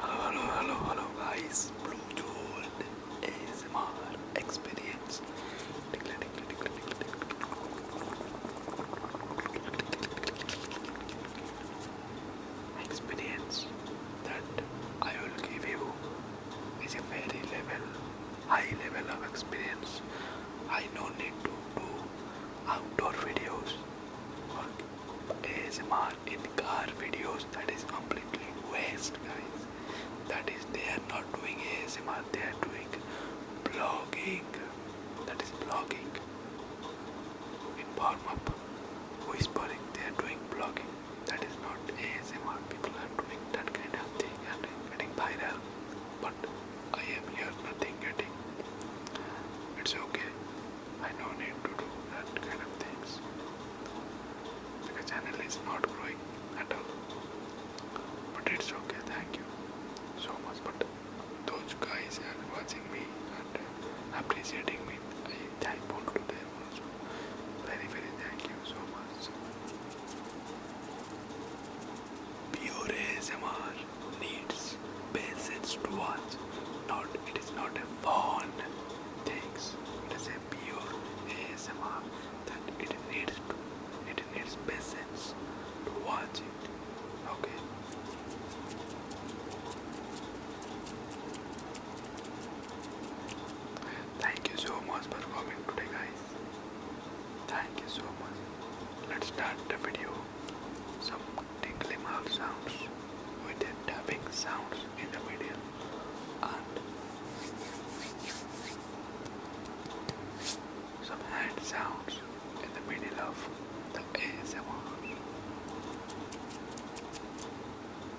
Hello, hello, hello, hello, guys. Bluetooth ASMR experience. Experience that I will give you is a very level high level of experience. I no need to do outdoor videos or ASMR in car videos. That is completely waste, guys. That is they are not doing ASMR. They are doing blogging. That is blogging. In warm up, whispering. They are doing blogging that is not ASMR. People are doing that kind of thing and getting viral, but I am here nothing getting. It's okay. I don't need to do that kind of things. The channel is not growing at all. But it's okay, thank you so much. But those guys are watching me and appreciating me. I am thankful to them was benefited. Thank you so much. Pure ASMR needs patience to watch. Not it is not a fun things. It is a pure ASMR that it needs to it needs patience to watch it. Okay. Thank you so much for coming today, guys. Thank you so much. Let's start the video. Some tingly mouth sounds with the tapping sounds in the video. And some hand sounds in the middle of the ASMR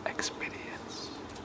experience.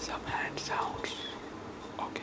Some hand sounds. Okay.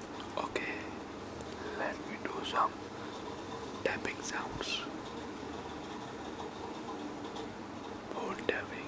Okay, let me do some tapping sounds. Phone tapping.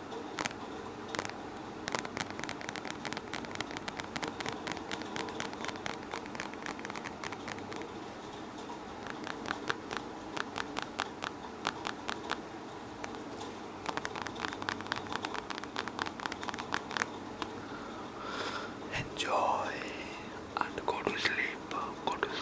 Enjoy and go to sleep. Go to sleep.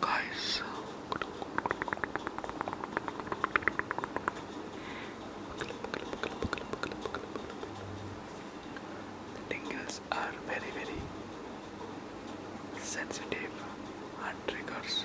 Guys, the thing is, are very very sensitive and triggers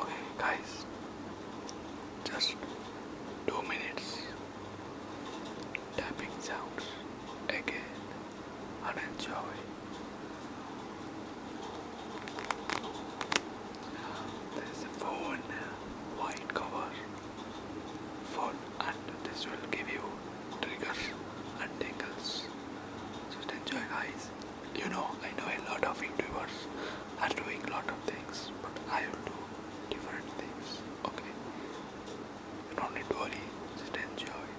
Okay, guys, just two minutes tapping sounds again and enjoy. There's a phone white cover phone and this will give you triggers and tingles. Just enjoy guys. You know I know a lot of YouTubers are doing a lot of things but I will do different things. Okay. You don't need to worry, just enjoy.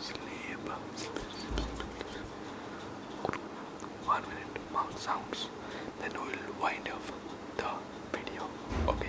sleep, sleep, sleep, One minute mouth sounds, then we will wind up the video. Okay.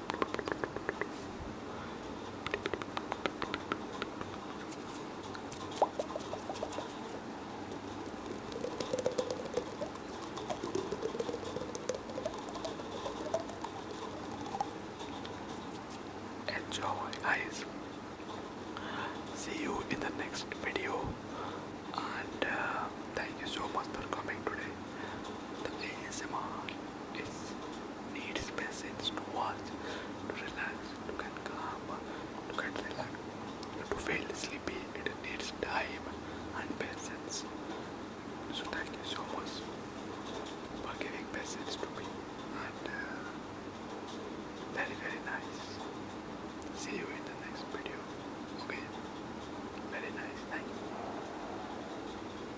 Enjoy, guys. See you in the next video, and uh, thank you so much for coming today. The ASMR is need spaces to watch, to relax, to get calm, to get relaxed. To feel sleepy, it needs time and patience. So thank you so much for giving patience to me and uh, very very nice. See you in the next video. Okay. Very nice. Thank you.